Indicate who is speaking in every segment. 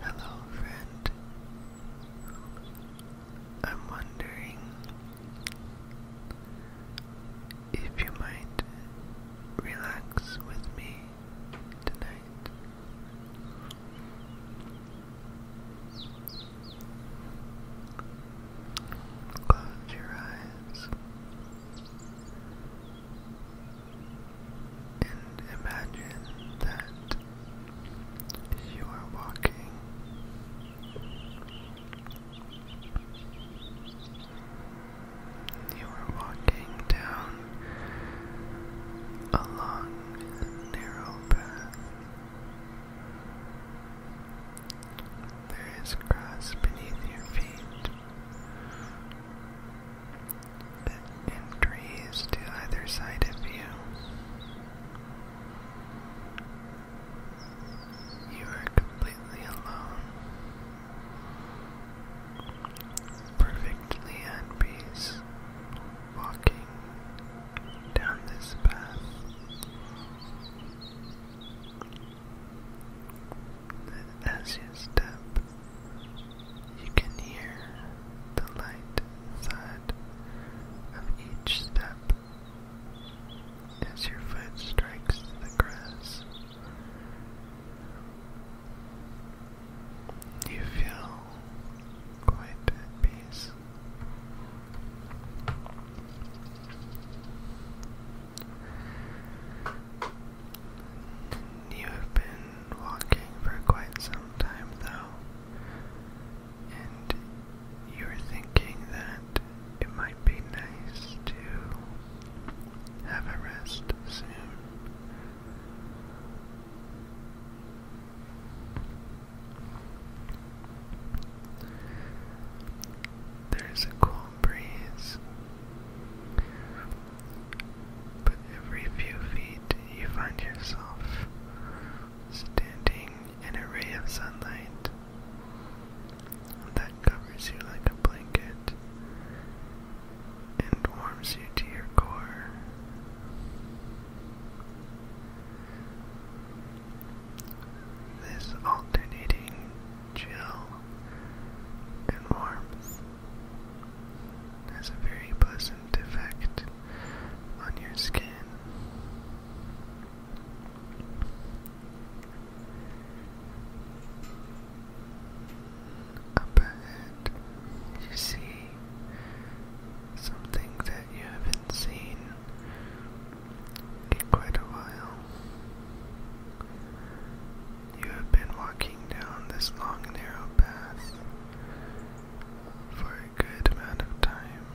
Speaker 1: Hello, friend. I'm wondering if you might relax with me tonight. Close your eyes and imagine that you are walking you are walking down a long narrow path there is grass beneath your feet and trees to either side of you. You are completely alone, perfectly at peace, walking down this path. As you step, you can hear the light thud of each step as your foot strikes the grass. You feel quiet and peace. You have been walking for quite some time, though, and you're thinking that it might be nice to have a rest soon. There's a call breeze. But every few feet, you find yourself standing in a ray of sunlight that covers you like a blanket and warms you to your core. This alternating chill, and warmth has a very pleasant effect on your skin. Up ahead, you see something that you haven't seen in quite a while. You have been walking down this long and narrow path for a good amount of time.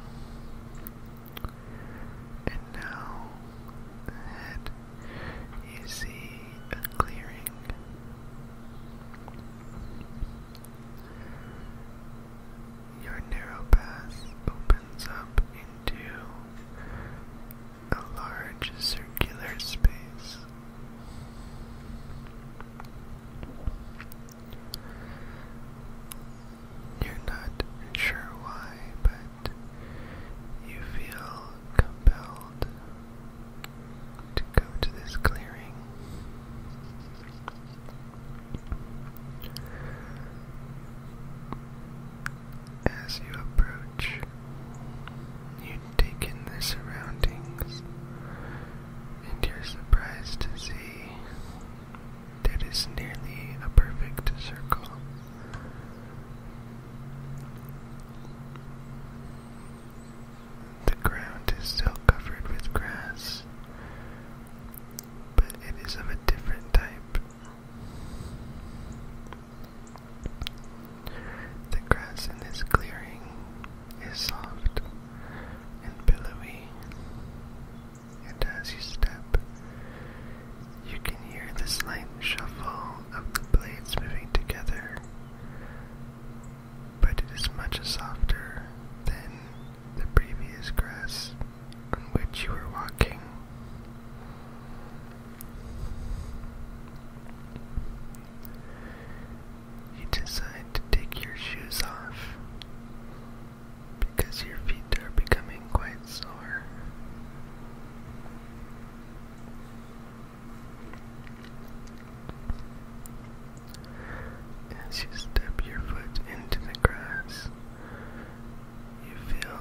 Speaker 1: And now, ahead, you see a clearing. Your narrow path opens up into a large circular space. You're not sure why, but you feel compelled to go to this clearing. As you approach, you take in the surroundings, and you're surprised to see that it's nearly a perfect circle. The ground is still covered with grass, but it is of a different type. The grass in this clearing is soft and billowy, and as you step, you can hear the slight shuffle of the blades moving together, but it is much softer than the previous grass on which you were walking. You decide to take your shoes off because your feet are becoming quite sore. As you step your foot into the grass, you feel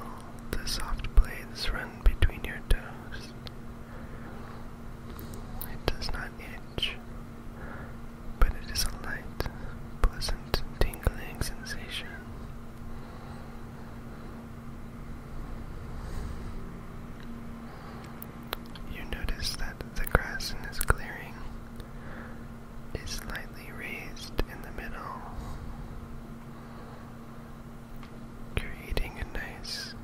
Speaker 1: the soft blades run between your toes. It does not itch, but it is a light, pleasant, tingling sensation. You notice that the grass in this clearing is slightly raised in the middle, creating a nice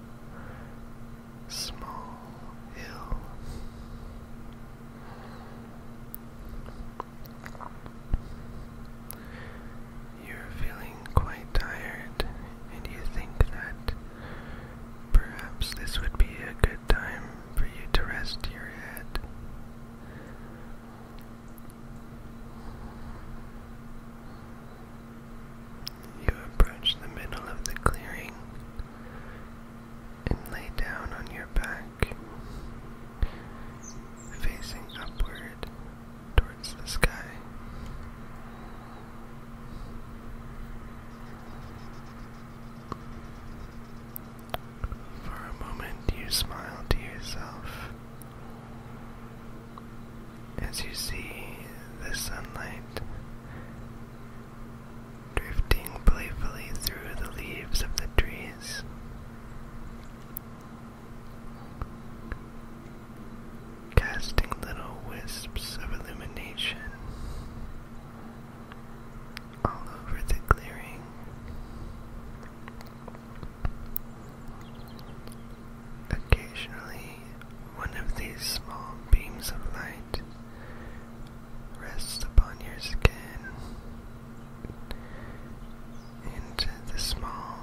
Speaker 1: small hill. You're feeling quite tired, and you think that perhaps this would be a good time for you to rest your head. You approach the middle of the clearing and lay down on your back, facing upward towards the sky. For a moment, you smile to yourself as you see the sunlight drifting playfully through the leaves of the trees. Casting little wisps of illumination all over the clearing. Occasionally, one of these small beams of light rests upon your skin into the small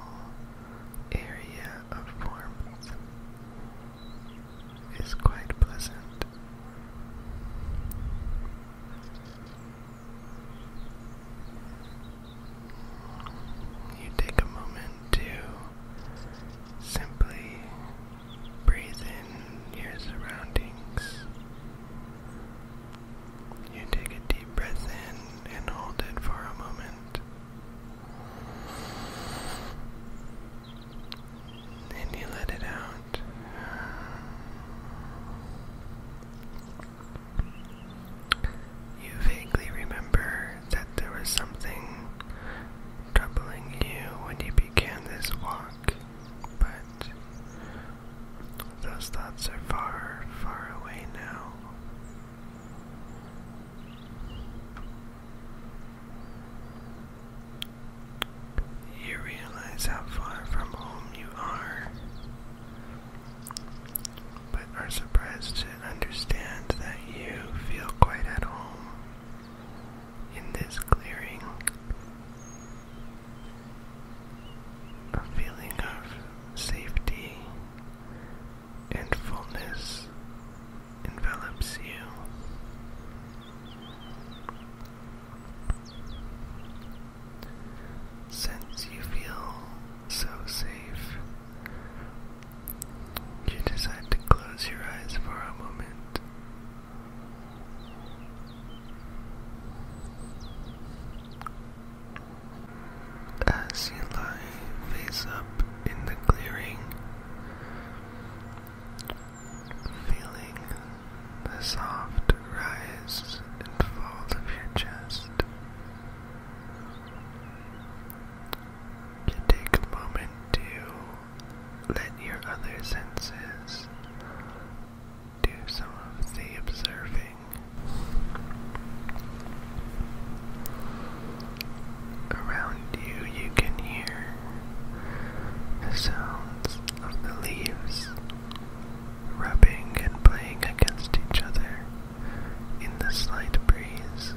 Speaker 1: area of warmth is quite pleasant. You take a moment to simply breathe in your surroundings. You take a deep breath in and hold it for a moment and you let it out. You vaguely remember that there was something troubling you when you began this walk, but those thoughts are far, far away now. You realize how far from home you are, but are surprised to understand that you feel quite at home in this clearing. A feeling of safety and fullness envelops you. Since you feel so safe, you decide to close your eyes for a moment. As you lie face up in the clearing, Feeling the soft rise and fall of your chest. You take a moment to let your other senses do some of the observing. Around you, you can hear the sounds of the leaves rubbing and playing against each other in the slight breeze.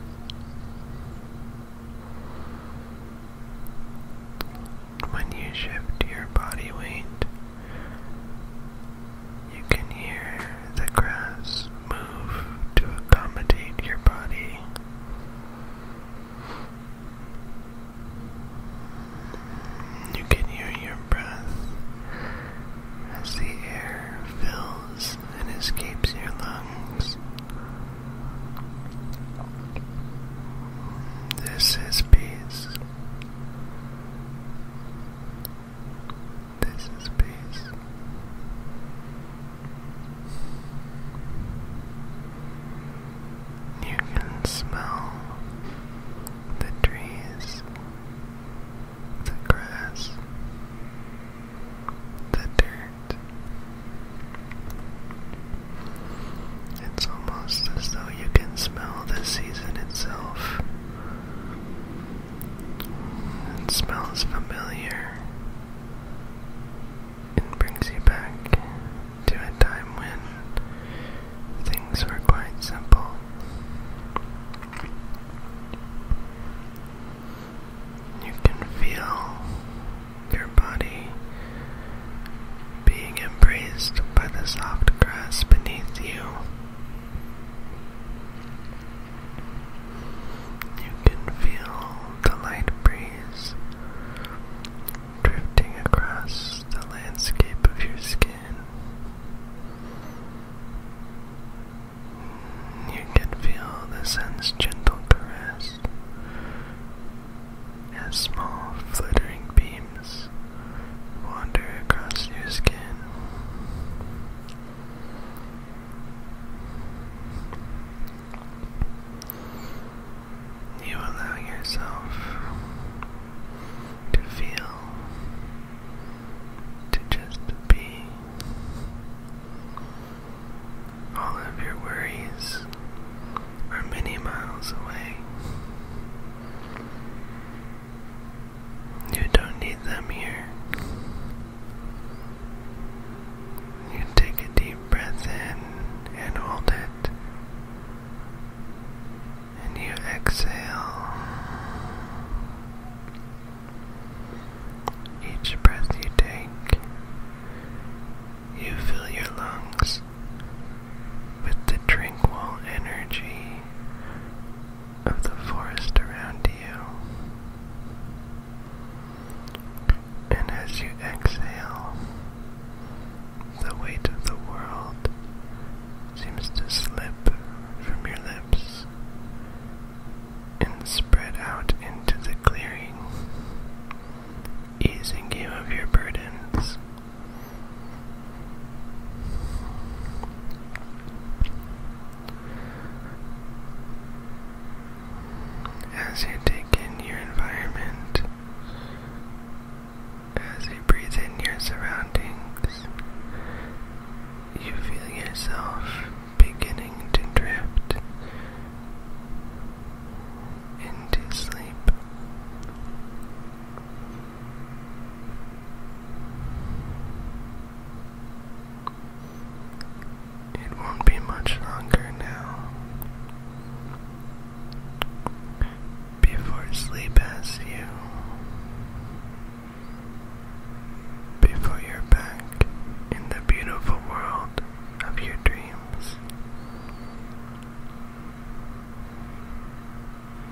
Speaker 1: When you shift your body weight, you can hear the grass move to accommodate your body. You can hear your breath as the air fills and escapes your lungs. This is peace. This is peace. You can smell the trees, the grass, the dirt. It's almost as though you can smell the season itself. It smells familiar and brings you back to a time when things were quite simple. You can feel your body being embraced by the soft grass beneath you you can feel the light breeze drifting across the landscape of your skin. You can feel the sun's gentle caress as small fluttering beams wander across your skin. You allow yourself to feel, to just be. All of your worries are many miles away. You don't need them here. You take a deep breath in and hold it. And you exhale. Each breath you take, you fill your lungs with the tranquil energy of the forest around you. And as you exhale, the weight of the world seems to slip from your lips and spread out into the clearing, easing you of your burdens as you take in your environment, as you breathe in your surroundings, you feel yourself beginning to drift into sleep. It won't be much longer now before sleep has you, before you're back in the beautiful world of your dreams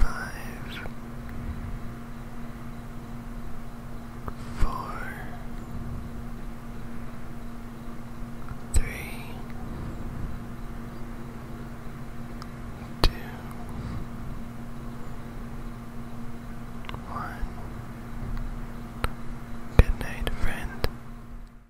Speaker 1: five, four, three, two, one. Good night, friend.